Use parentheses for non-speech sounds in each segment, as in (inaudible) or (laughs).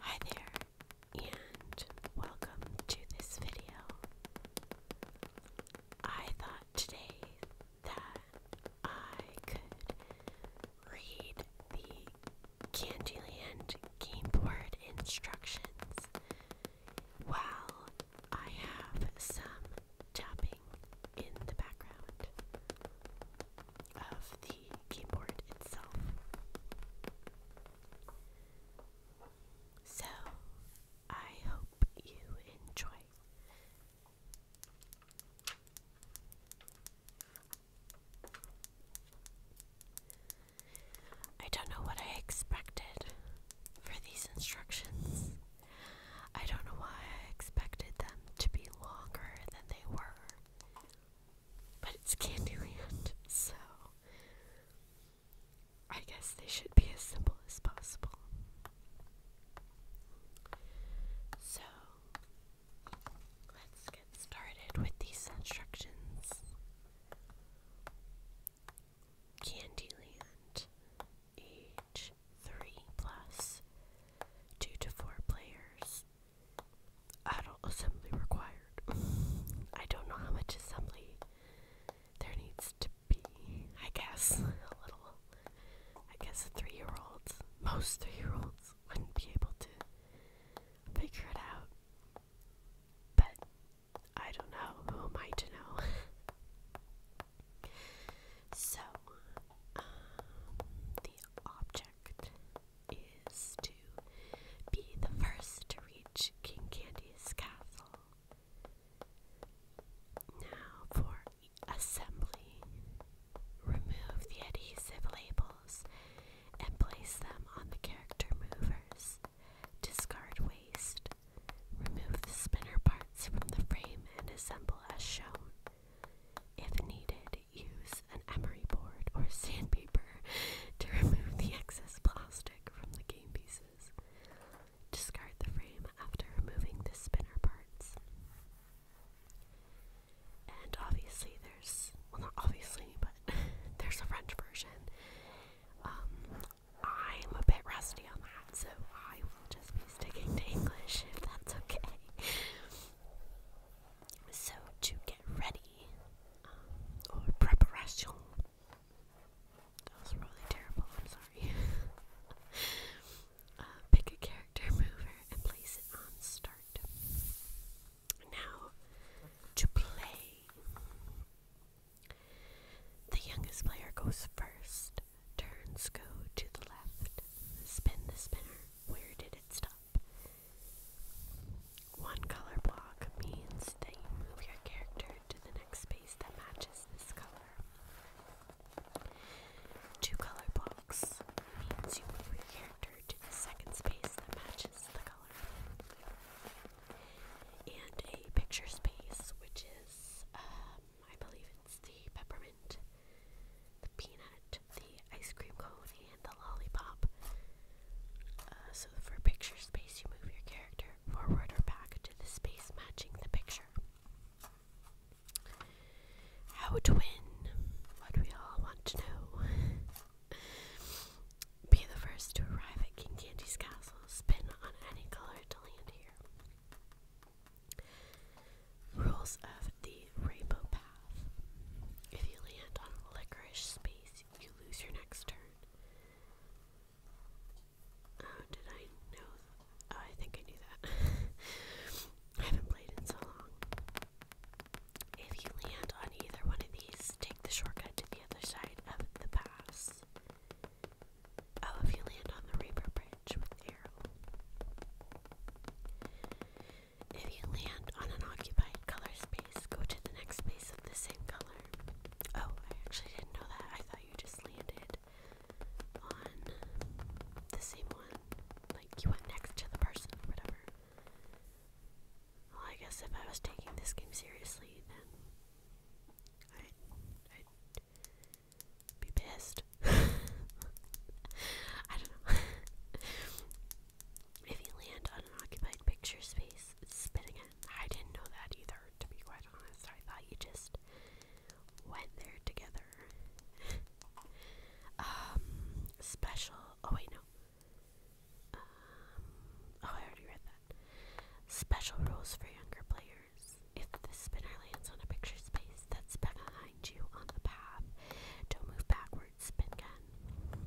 Hi there, and welcome to this video. I thought today that I could read the Candyland game board instructions while I have some tapping in the background of the keyboard itself. So, I hope you enjoy. I don't know what I expected for these instructions. I don't know why I expected them to be longer than they were. But it's Candyland, so I guess they should be as simple as possible. So let's get started with these instructions. Candyland, age 3 plus, 2 to 4 players, adult assembly required. (laughs) I don't know how much assembly there needs to be. I guess (laughs) a little. I guess a three year old, most three year olds, wouldn't be able to figure it out. But I don't know. Who am I to know? (laughs) so, um, the object is to be the first to reach King Candy's castle. Now for assembly. Remove the adhesive labels and place them on the character movers. Discard waste. Remove the spinner parts from the frame and assemble as shown. If needed, use an emery board or sandpaper to remove the excess plastic from the game pieces. Discard the frame after removing the spinner parts. And obviously, there's well, not obviously, but (laughs) there's a French version. Um, I'm a bit rusty on that, so I will just be sticking to English if that's okay. So, to get ready, um, or preparation, that was really terrible, I'm sorry. (laughs) Uh, pick a character mover and place it on start. Now, to play, the youngest player goes first. Turns go to the left. Spin the spinner. Where did it stop? One color block means that you move your character to the next space that matches this color. Two color blocks means you move your character to the second space that matches the color. And a picture space, which is um, I believe it's the peppermint, the peanut, the ice cream cone, and the lollipop. Uh, so for picture space, you move your character forward or back to the space matching the picture. How to win? What we all want to know. Be the first to arrive at King Candy's castle. Spin on any color to land here. Rules of the Rainbow Path. If you land on licorice space, you lose your next turn. Oh, did I know? Oh, I think I knew that. (laughs) I haven't played in so long. If you land on either one of these, take the shortcut to the other side of the pass. Oh, if you land on the Reaper Bridge with arrow. If you land on an occupied color space, go to the next space of the same color. Oh, I actually didn't know that. I thought you just landed on the same one. Like you went next to the person or whatever. Well, I guess if I was taking this game seriously, then be pissed. (laughs) I don't know. (laughs) if you land on an occupied picture space, spit again. I didn't know that either, to be quite honest. I thought you just went there together. (laughs) um, special. Oh, wait, no. Um, oh, I already read that. Special rules for younger players. If the spinner lands on a picture space that's behind you on the path, don't move backwards, spin gun.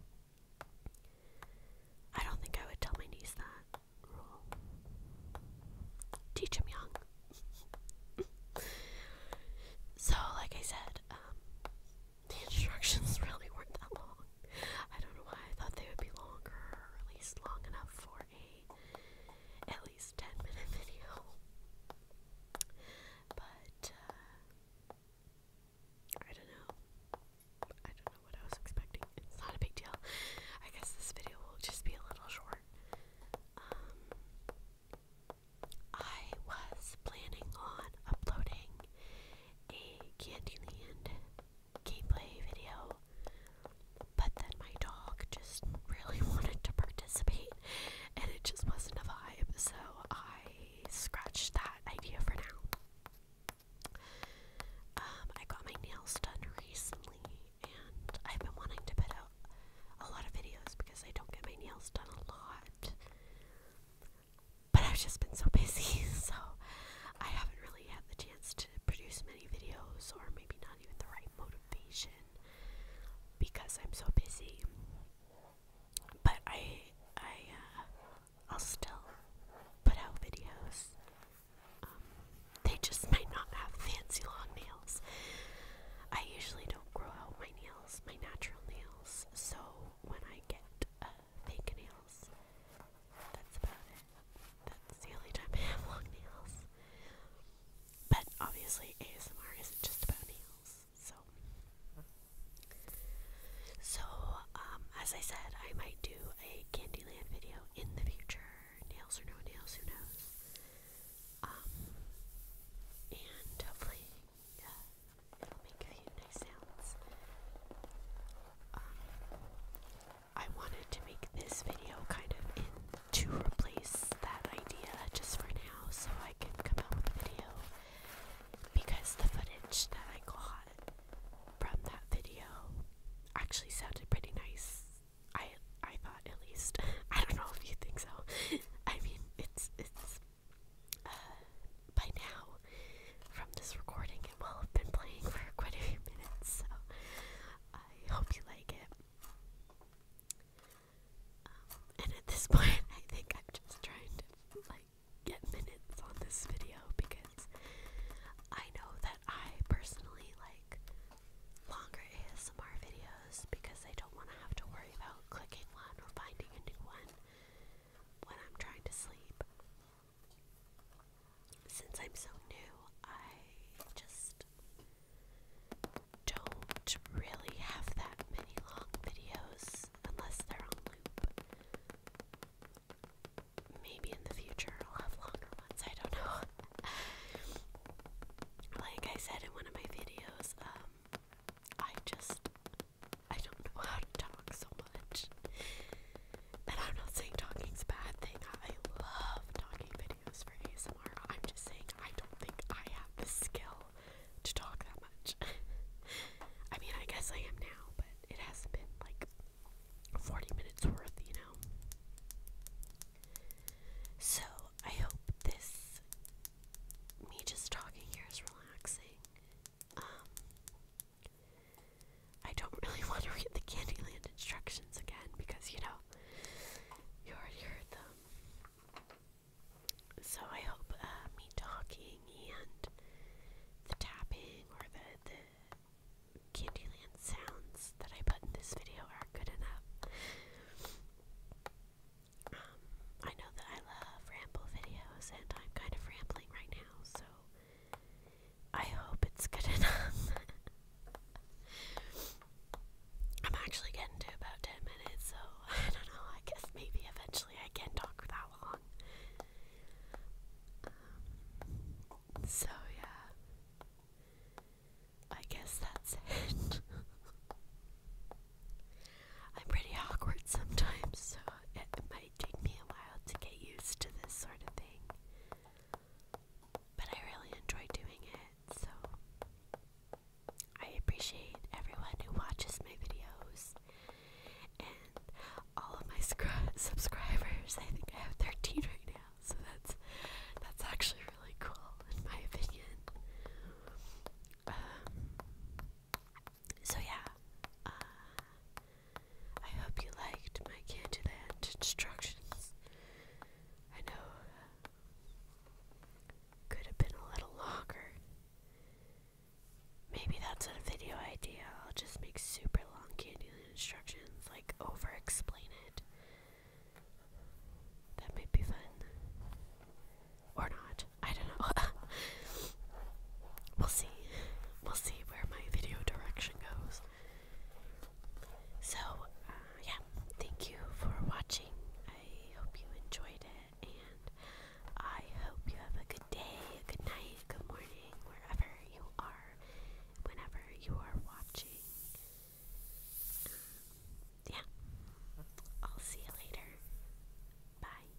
I don't think I would tell my niece that rule. Teach him young. (laughs) so, like I said, um, the instructions (laughs) really weren't that long. I don't know why I thought they would be longer, or at least long enough for a at least 10 minute video. But uh, I don't know. I don't know what I was expecting. It's not a big deal. I guess this video will just be a little short. Um, I was planning on uploading a Candyland gameplay video but then my dog just really (laughs) wanted to participate and it just wasn't a vibe, so I scratched that idea for now. Um, I got my nails done recently and I've been wanting to put out a lot of videos because I don't get my nails done a lot. But I've just been so (laughs) busy, so I haven't really had the chance to produce many videos, or maybe not not the right motivation because I'm so busy. But I, I, uh, I'll still put out videos. Um, they just might not have fancy long nails. I usually don't grow out my nails, my natural nails. So when I get uh, fake nails, that's about it that's the only time I have long nails. But obviously, ASMR isn't just about nails, so. So, um, as I said, I might do a Candyland video in the future. Nails or no nails, who knows? Um, and hopefully, uh, it'll make a few nice sounds. Um, I wanted to make this video kind of in to replace that idea just for now so I can come out with a video because the footage that I got from that video actually sounded pretty nice. I I thought at least. (laughs) I don't know if you think so. (laughs) I mean it's it's uh, by now from this recording it will have been playing for quite a few minutes so I hope you like it. Um, and at this (laughs) point, I think I'm just trying to like get minutes on this video because I know that I personally like longer ASMR videos because I don't want to have to worry about clicking one or finding a new one when I'm trying to sleep. Since I'm so new, I just don't really have that many long videos unless they're on loop. Maybe in the future I'll have longer ones, I don't know. (laughs) like I said in one of my videos, um, I just I don't know how to talk so much. And I'm not saying talking's a bad thing. I love talking videos for ASMR. I'm just saying I don't think I have the skill to talk that much. (laughs) I mean, I guess I am now, but it hasn't been like 40 minutes worth, you know? So, I hope this, me just talking here is relaxing. Um, I don't really (laughs) want to read the Candyland instructions again because, you know, you already heard them. So I hope uh, me talking and the tapping or the, the Candyland sounds that I put in this video are good enough. Um, I know that I love ramble videos and I'm kind of rambling right now, so I hope it's good (laughs) enough. I'm actually getting to about 10 minutes, so (laughs) I don't know. I guess maybe eventually I can talk that long. Um, so, yeah. I guess that's (laughs) it. I'm pretty awkward sometimes, so it might might take me a while to get used to this sort of thing. But I really enjoy doing it, so I appreciate everyone who watches my videos and all of my (laughs) subscribers. I think I have 13 right now, so that's that's actually really cool in my opinion. Um, so yeah, uh, I hope you liked my hand instructions. I know uh, could have been a little longer. Maybe that's a video idea. I'll just make super long candulate instructions, like over explain it. That might be fun. Or not. I don't know. (laughs) we'll see we'll see where my video direction goes. So, uh, yeah, thank you for watching. I hope you enjoyed it, and I hope you have a good day, a good night, good morning, wherever you are, whenever you are watching. Um, yeah, I'll see you later. Bye.